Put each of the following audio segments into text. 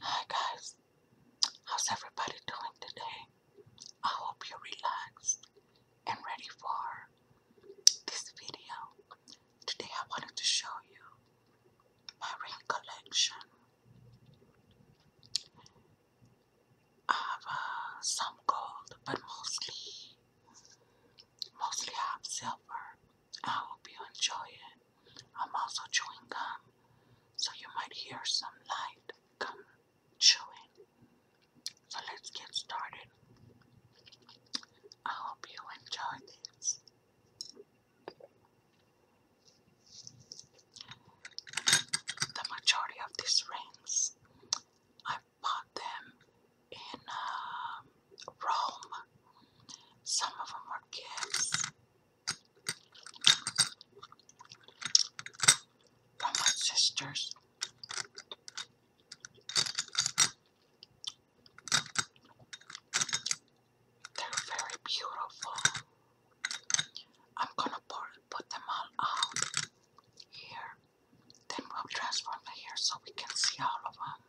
Hi guys, how's everybody doing today? I hope you're relaxed and ready for this video. Today I wanted to show you my ring collection. I have uh, some gold, but mostly, mostly I have silver. I hope you enjoy it. I'm also chewing gum, so you might hear some light gum chewing. So let's get started. I hope you enjoy this. The majority of these rings, I bought them in um, Rome. Some of them are gifts, from my sisters. They're very beautiful. I'm gonna pour, put them all out here. Then we'll transform the here so we can see all of them.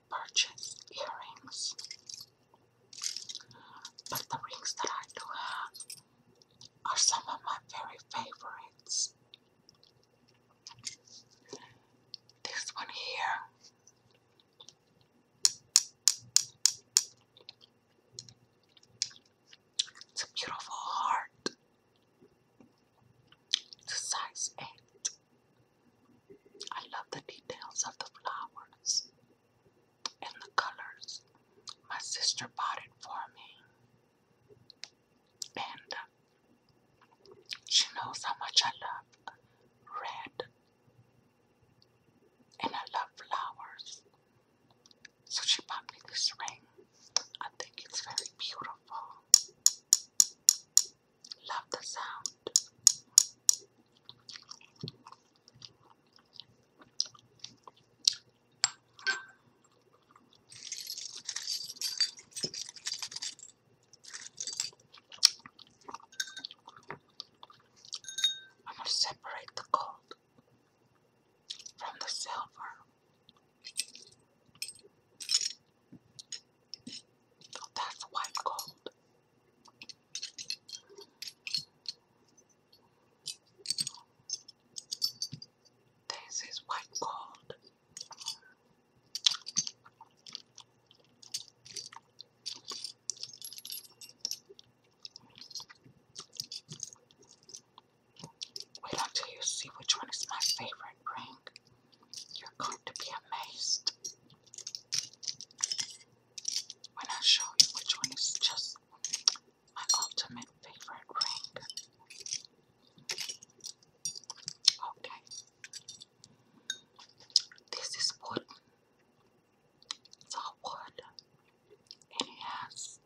I purchased earrings, but the rings that I do have are some of my very favorites. This one here. It's a beautiful heart. It's a size 8. I love the details of the flowers and the colors. My sister bought it for me, and uh, she knows how much I love red, and I love flowers. So she bought me this ring. I think it's very beautiful. Love the sound. I'm going to separate the gold from the silver. That's white gold. This is white gold. Wait until you see which one is my favorite ring. You're going to be amazed when I show you which one is just my ultimate favorite ring. Okay. This is wood. It's all wood. And it has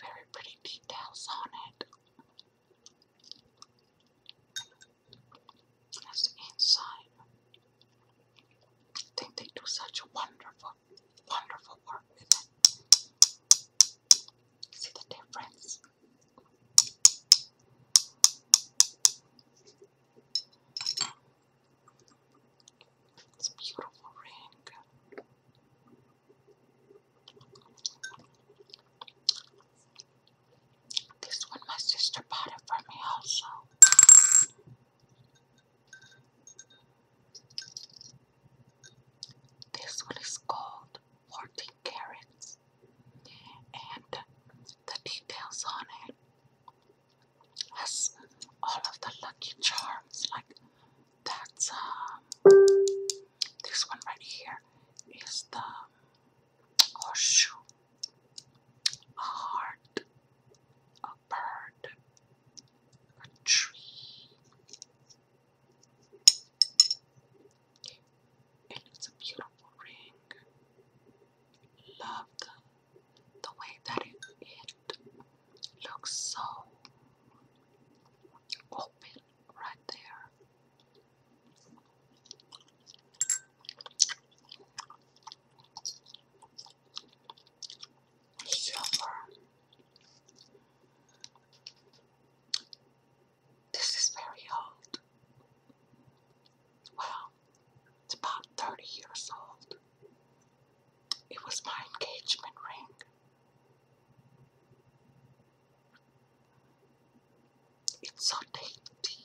very pretty details on it. That's inside. I think they do such wonderful, wonderful work with it. See the difference? It's a beautiful ring. This one my sister bought it for me also. This one is called 14 carats and the details on it has all of the lucky charms like that's um, this one right here is the or shoe, a heart, a bird, a tree. And it's a beautiful ring. Loved the way that it, it looks so open right there. Silver. This is very old. Well, it's about 30 years old. It was my engagement ring. It's so dainty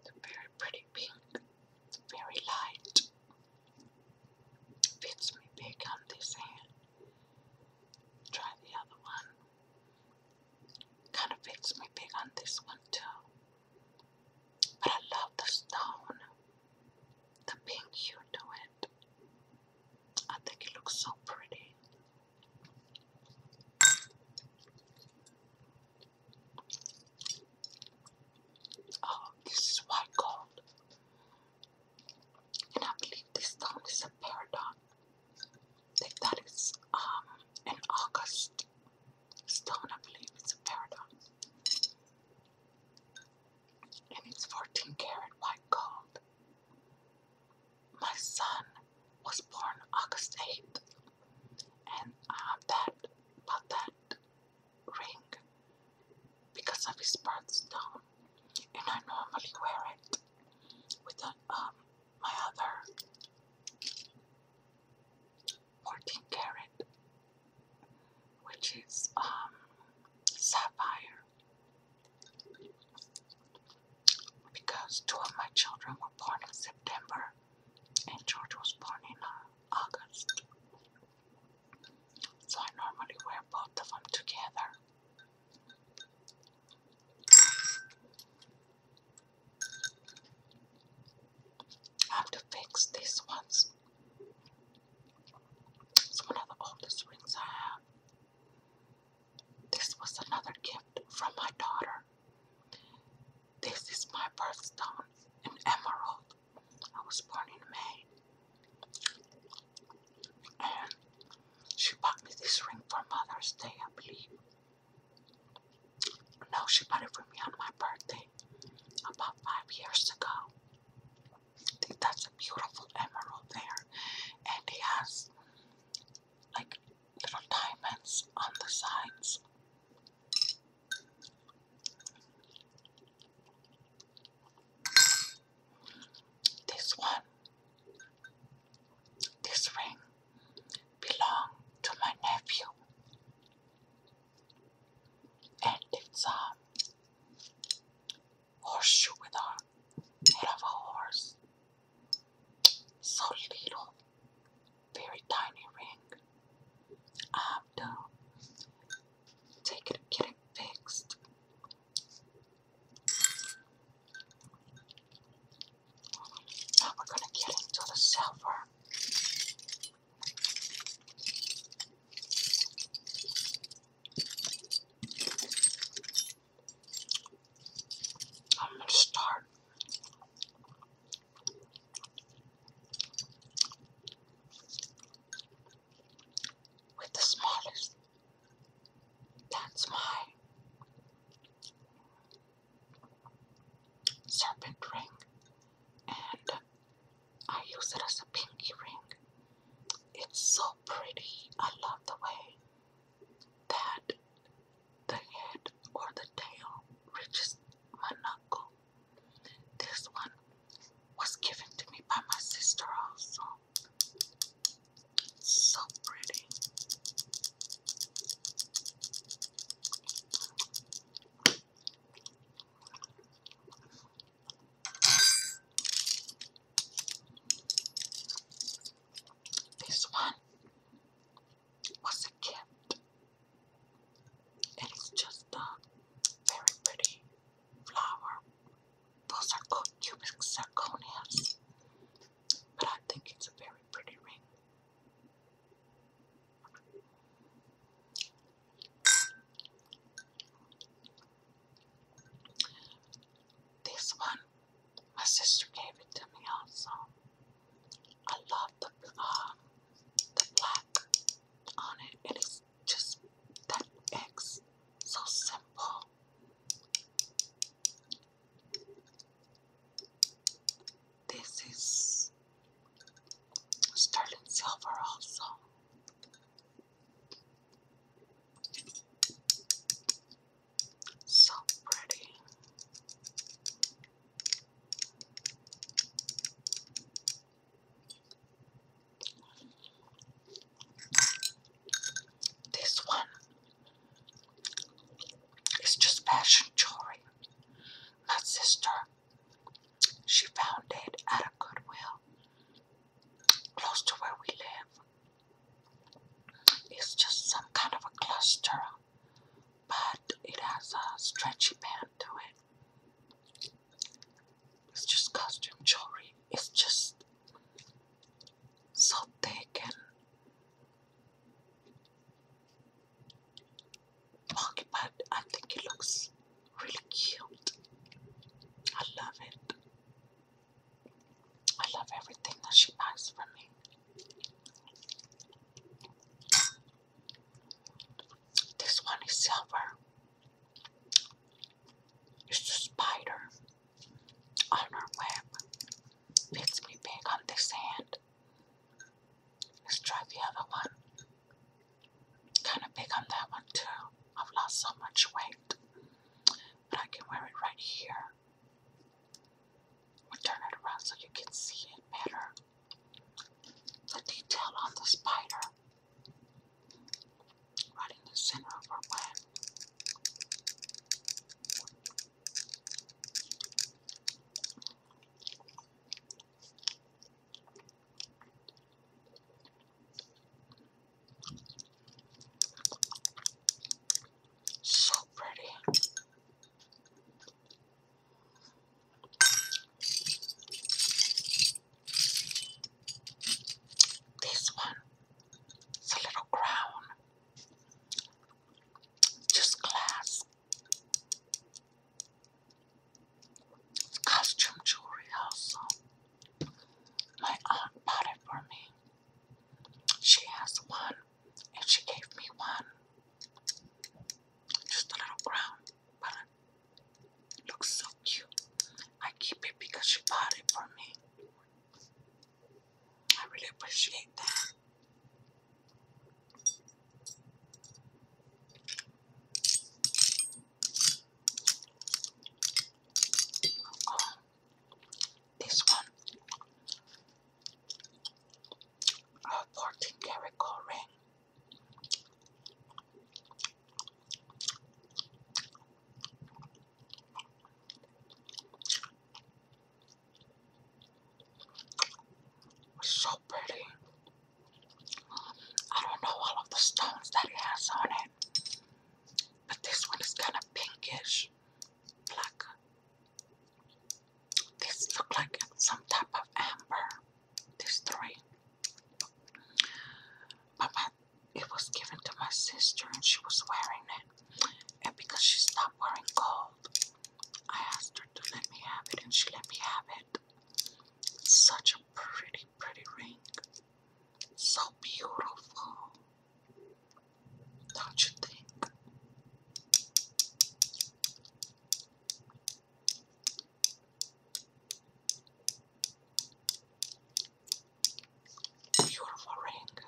It's very pretty pink. It's very light. Fits me big on this hand. Try the other one. Kind of fits me big on this one too. But I love the stone. The pink hue to it. I think it looks so pretty. Oh, this is white gold. And I believe this stone is a paradox. They thought um an august stone, I believe it's a paradigm. And it's 14 karat white gold. My son was born August 8th, and uh, that but that ring because of his birthstone, and I normally wear it with the, um, my other 14 karat, which is um, sapphire because two of my children were born in September and George was born in uh, August. So I normally wear both of them together. I have to fix these ones. It's one of the oldest rings I have. This was another gift from my daughter. This is my birthstone, an emerald. I was born in May. And she bought me this ring for Mother's Day, I believe. No, she bought it for me on my birthday about five years ago. that's a beautiful emerald there. And it has like little diamonds on the sides. This one, this ring, belonged to my nephew, and it's a horseshoe with a head of a horse. So little, very tiny ring. I have to take it, get it fixed. Now we're gonna get into the silver. I'm gonna start with the smallest. That's my serpent ring, and I use it as a pinky ring. It's so pretty. I love the way that the head or the tail reaches my knuckle. This one was given to me by my sister also. So pretty. This one was a gift it's just a very pretty flower. Those are cubic zirconias, but I think it's a very pretty ring. This one, my sister gave it to me also. I love the uh, the black on it. It is just that X, so simple. This is sterling silver also. So pretty. This one is just fashion jewelry. My sister, she found it at a Goodwill close to where we live. It's just some kind of a cluster but it has a stretchy band to it. It's just costume jewelry. It's just so thick and wonky, but I think it looks really cute. I love it. I love everything that she buys for me. This one is silver. It's a spider on her web. Fits me big on this hand. Let's try the other one. Kind of big on that one too. I've lost so much weight. But I can wear it right here. we turn it around so you can see it better. The detail on the spider, right in the center of her web. So pretty. This one, it's a little crown, just glass. costume jewelry also. My aunt bought it for me. She has one and she gave me one. Just a little brown, but looks so cute. I keep it because she bought it for me. I really appreciate that. Oh, this one a 14 karat ring. So pretty. I don't know all of the stones that it has on it, but this one is kind of pinkish black. This look like some type of amber. There's three. But my, it was given to my sister and she was wearing it. And because she stopped wearing gold, I asked her to let me have it and she let me have it. Such a pretty, pretty ring. So beautiful. Don't you think? Beautiful ring.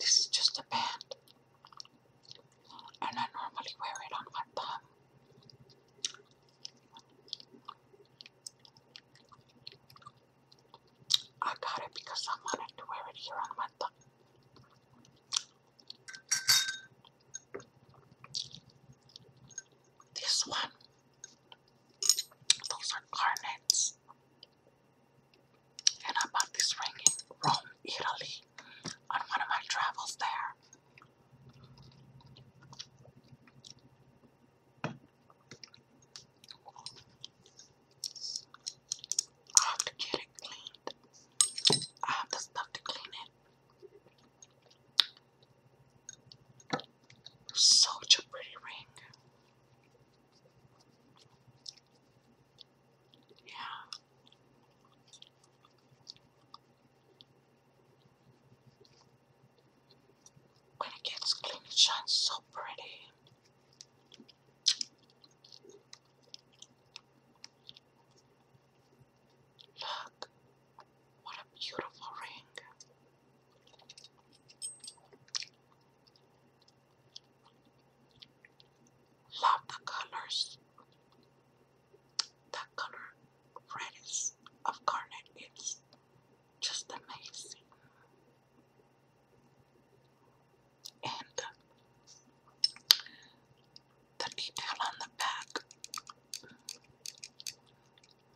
This is just a band, and I normally wear it on my thumb. I got it because I wanted to wear it here on my thumb. This one, those are garnets. And I bought this ring in Rome, Italy, on one of my travels there. I have to get it cleaned. I have the stuff to clean it. Such a pretty ring. Yeah. When it gets clean, it shines so pretty. Look, what a beautiful ring. Love the colors. That color red of garnet is just amazing. And the detail on the back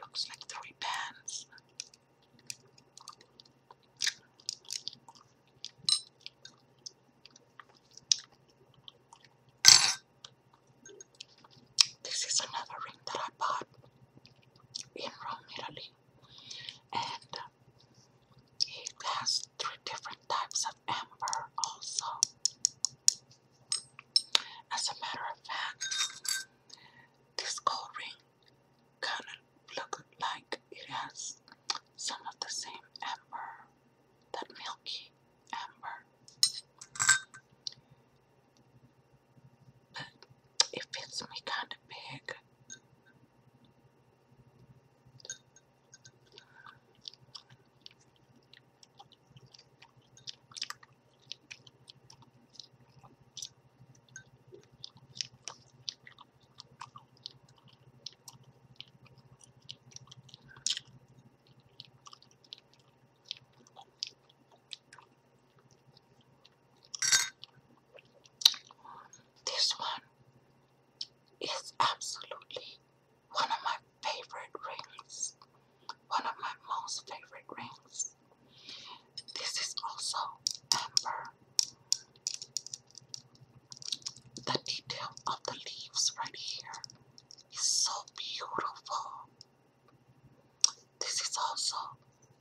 looks like three bands. This is another ring that I bought in Rome, Italy. And he has three different types of amber also. As a matter of fact, this gold ring kind of looks like it has some of the same amber, that milky amber. It fits me kind of big. This one is absolutely one of my favorite rings. One of my most favorite rings. This is also amber. The detail of the leaves right here is so beautiful. This is also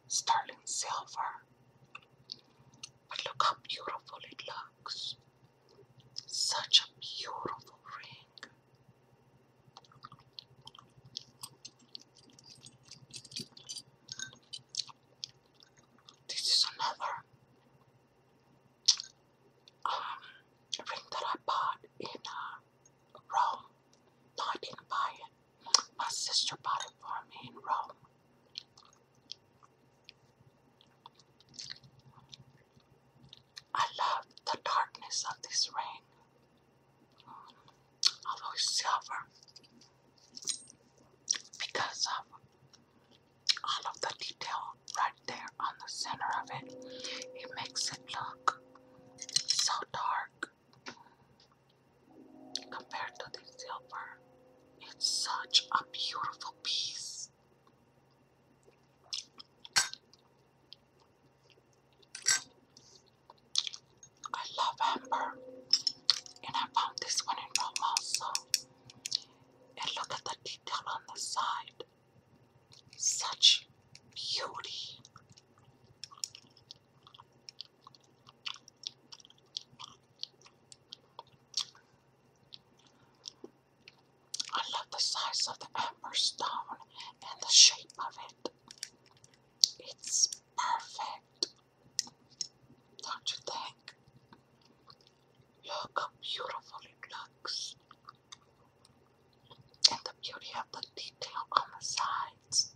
sterling silver. But look how beautiful it looks. Such a beautiful ring. This is another um, ring that I bought in uh, Rome. No, I didn't buy it. My sister bought it for me in Rome. I love the darkness of this ring. Although it's silver, because of all of the detail right there on the center of it, it makes it look so dark. Compared to the silver, it's such a beautiful piece. I love amber, and I found this one in Rome also. And look at the detail on the side. Such beauty. I love the size of the amber stone and the shape of it. It's perfect. Don't you think? Look how beautiful it looks. And the beauty of the detail on the sides.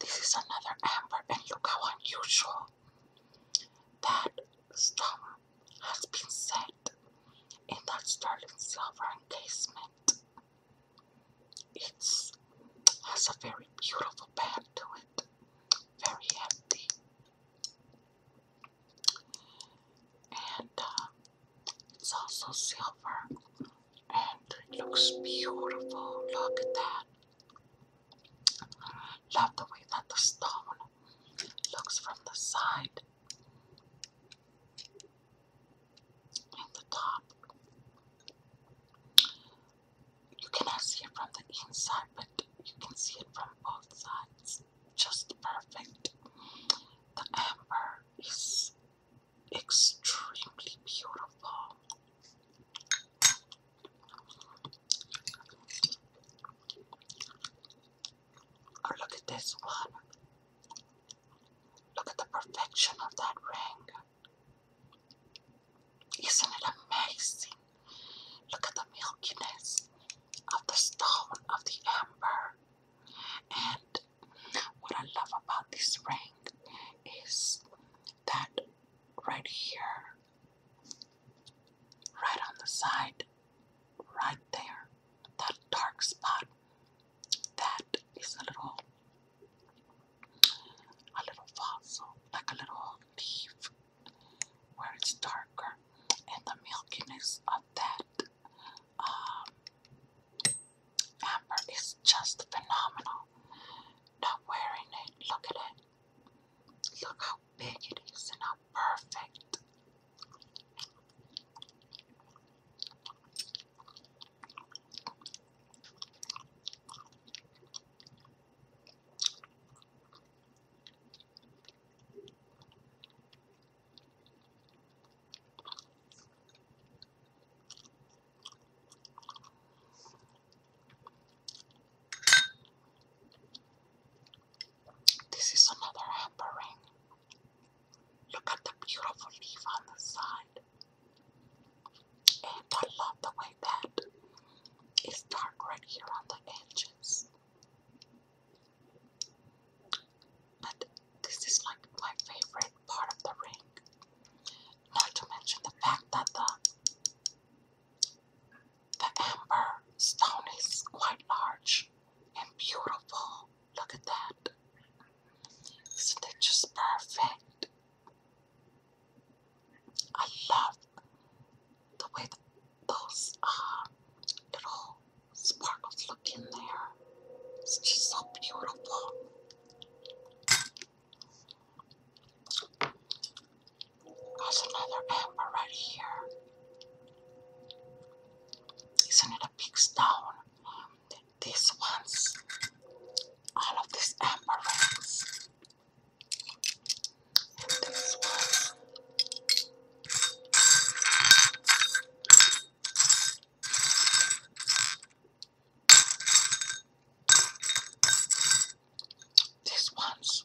This is another amber, and look how unusual that star has been set in that sterling silver encasement. It has a very beautiful back to it, very empty. And uh, it's also silver and it looks beautiful. Look at that. Love the way that the stone looks from the side and the top. You cannot see it from the inside, but you can see it from both sides. Just perfect. The amber is extremely beautiful. Or look at this one. Look at the perfection of that ring. Isn't it amazing? Look at the milkiness of the stone, of the amber. And what I love about this ring is that right here, right on the side, right there, that dark spot that is a little a little fossil, like a little leaf where it's darker and the milkiness of that um, amber is just phenomenal. Not wearing it, look at it. Look how big it is and how perfect this is another hamper ring. Look at the beautiful leaf on the side. And I love the way that it's dark right here on the edges. But this is like my favorite part of the ring. Not to mention the fact that the the amber stone is quite large and beautiful. Look at that. Isn't it just perfect? I love the way those uh, little sparkles look in there. It's just so beautiful. There's another amber right here. Isn't it a big stone? these ones, all of these amaranths, and this one. These ones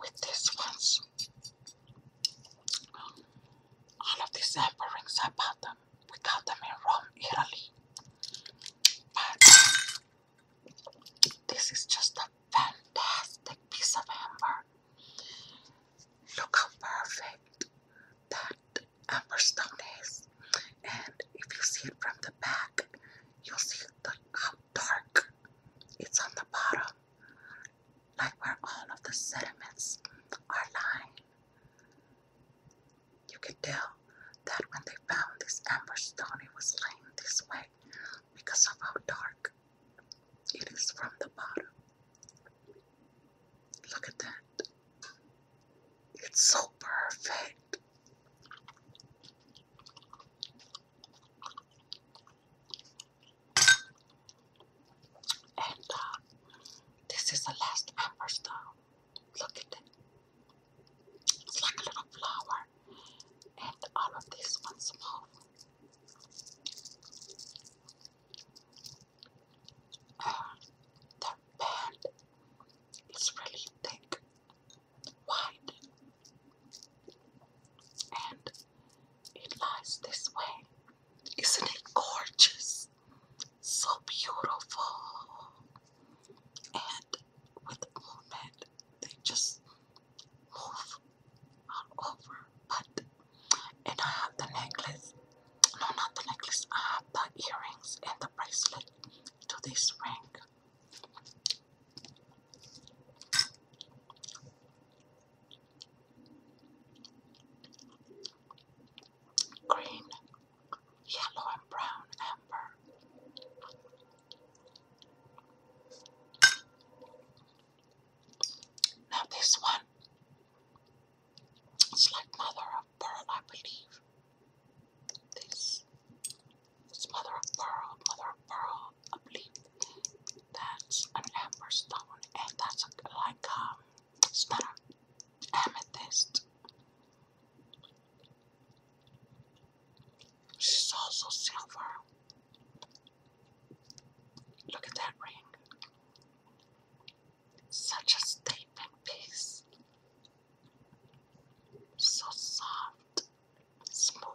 with these ones, all of these sample rings, I bought them. We got them in Rome, Italy. this is just a fantastic piece of amber. Look how perfect that amber is. And if you see it from the back, you'll see how dark it's on the bottom like where all of the sediments are lying. You can tell that when they found this amber stone, it was laying this way because of how dark it is from the bottom. Look at that. It's so perfect. And uh, this is the last pepper stone. Look at it. It's like a little flower. And all of these ones move. Uh, the band is really thick, wide, and it lies this way. Isn't it gorgeous? So beautiful. And with movement, they just move all over. But, and I have the necklace. No, not the necklace. I have the earrings and the bracelet to this ring green, yellow, and brown amber. Now, this one it's like mother of pearl, I believe. This it's mother of pearl, mother of pearl, I believe. That's an amber and that's like um Sparrow, amethyst. She's also silver. Look at that ring. Such a statement piece. So soft, smooth.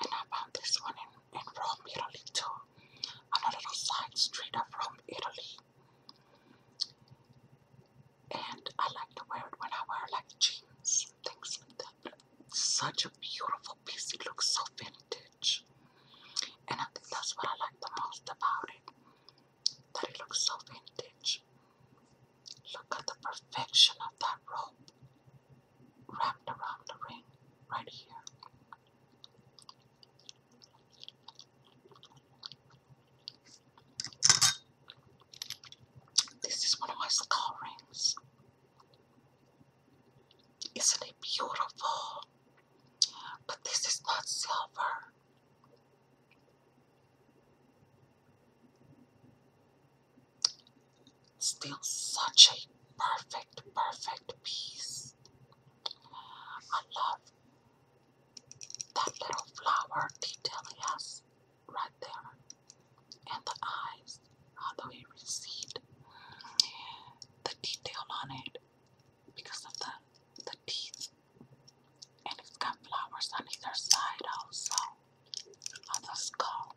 And I bought this one in, in Rome, Italy too. On side street of Rome, Italy. And I like to wear it when I wear like jeans, things such a beautiful piece. It looks so vintage. And I think that's what I like the most about it. That it looks so vintage. Look at the perfection of that rope wrapped around the ring right here. This is one of my skull rings. Isn't it beautiful? But this is not silver. Still such a perfect, perfect piece. I love that little flower detail he has right there. And the eyes, although it receded, the detail on it because of the, the teeth. And it's got flowers on either side also of the skull.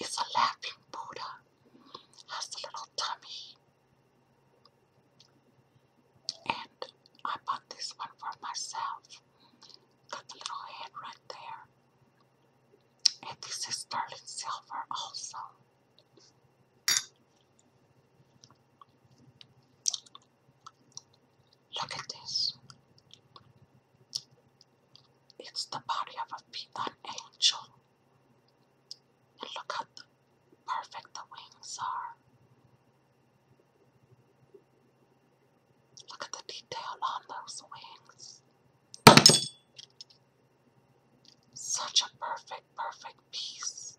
is a laughing Buddha, has a little tummy. And I bought this one for myself. Got the little head right there. And this is sterling silver also. Look at this. It's the body of a peanut angel. And look how perfect the wings are. Look at the detail on those wings. Such a perfect, perfect piece.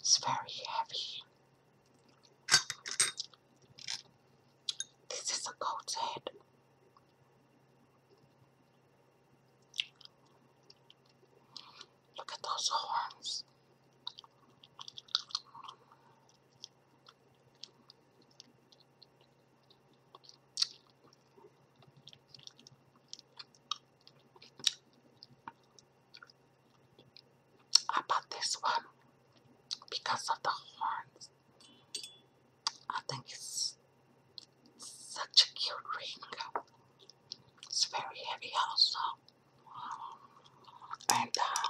It's very heavy. This is a goat's head. Look at those horns. I bought this one because of the horns. I think it's such a cute ring. It's very heavy also. And uh,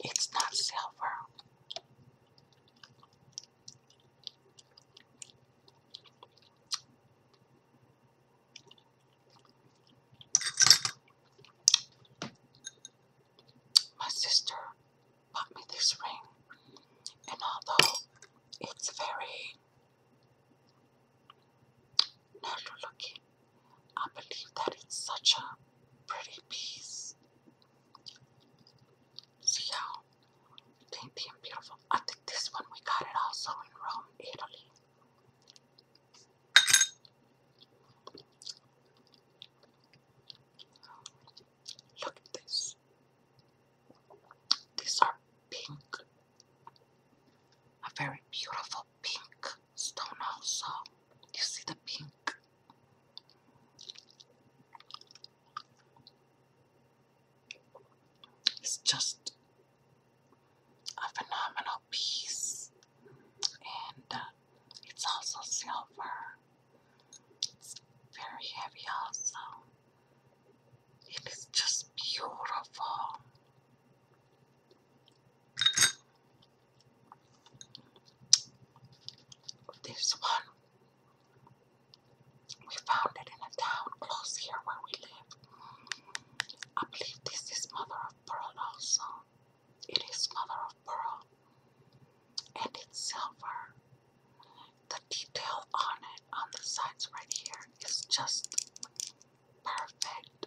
it's not silver. My sister bought me this ring, and although it's very natural looking, I believe that it's such a pretty piece. See how dainty and beautiful. I think this one we got it also in Rome, Italy. Look at this. These are pink. A very beautiful pink stone also. You see the pink. It's just a phenomenal piece, and uh, it's also silver. It's very heavy, also. It is just beautiful. This one we found it in a town close here where we live. I believe this is mother of pearl also. It is mother of pearl. And it's silver. The detail on it, on the sides right here, is just perfect.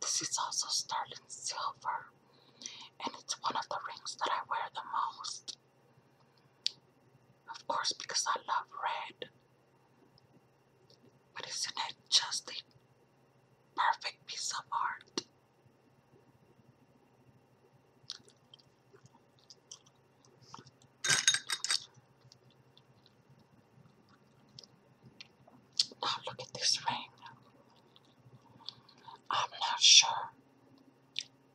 This is also sterling silver, and it's one of the rings that I wear the most. Of course, because I love red. But isn't it just a perfect piece of art? Now oh, look at this ring. I'm not sure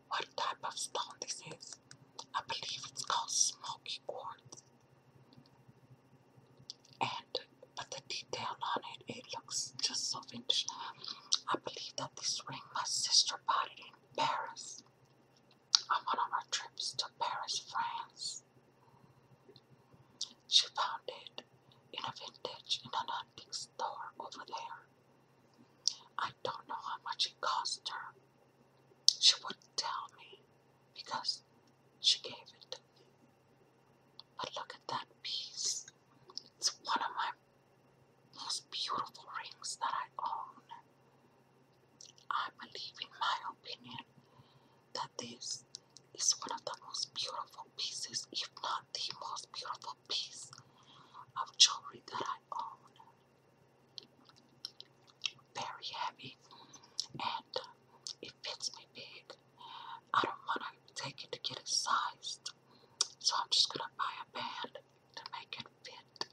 what type of stone this is. I believe it's called smoky quartz. And but the detail on it, it looks just so vintage. I believe that this ring my sister bought it in Paris on one of our trips to Paris, France. She found it in a vintage in an antique store over there. I don't know how much it cost her. She wouldn't tell me because she gave it to me. But look at that piece. It's one of my most beautiful rings that I own. I believe, in my opinion, that this it's one of the most beautiful pieces, if not the most beautiful piece of jewelry that I own. Very heavy and it fits me big. I don't want to take it to get it sized, so I'm just going to buy a band to make it fit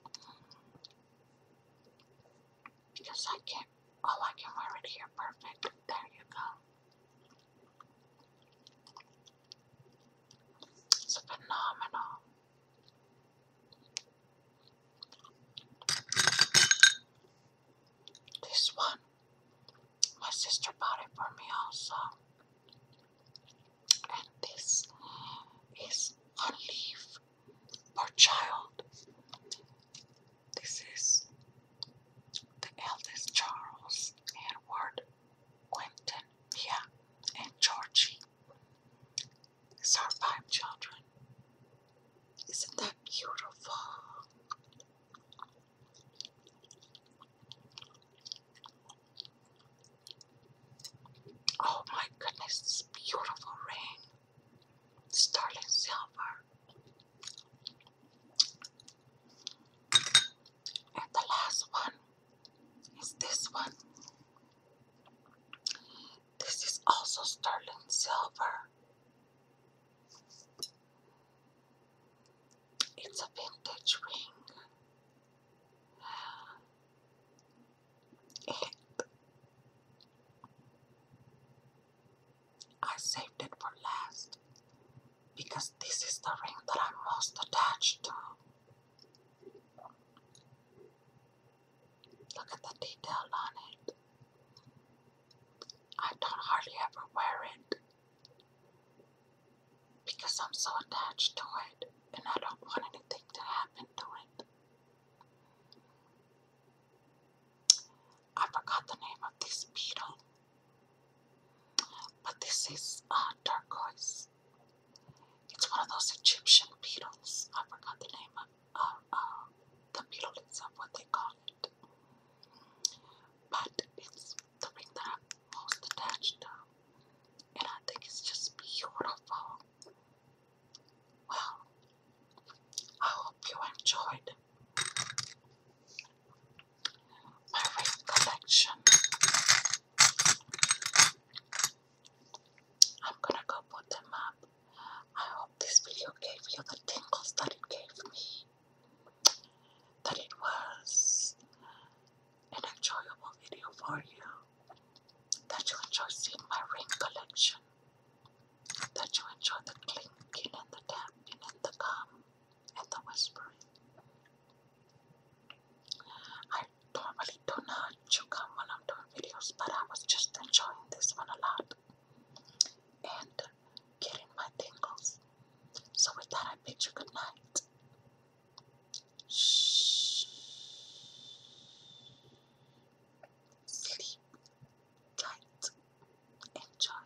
because I can't. Oh, I can wear it here. Perfect. There you go. It's phenomenal. This one, my sister bought it for me also. And this is on leave per child. This is the eldest Charles, Edward, Quentin, Pia, and Georgie five children. Isn't that beautiful? Oh my goodness, this beautiful rain. Sterling silver. And the last one is this one. This is also sterling silver. It's a vintage ring. I saved it for last because this is the ring that I'm most attached to. Look at the detail on it. I don't hardly ever wear it because I'm so attached to it and I don't want anything to happen to it. I forgot the name of this beetle. But this is uh, turquoise. It's one of those Egyptian beetles. I forgot the name of the beetle itself, what they call it. But it's the ring that I'm most attached to. And I think it's just beautiful. Well, I hope you enjoyed my wreath collection. I'm gonna go put them up. I hope this video gave you the tingles that it gave me. That it was an enjoyable video for you. That you enjoy seeing my ring collection. That you enjoy the clinking and the tapping and the gum at the whispering. I normally do not choke come when I'm doing videos, but I was just enjoying this one a lot and getting my tingles. So with that, I bid you good night. Shh. Sleep tight. Enjoy.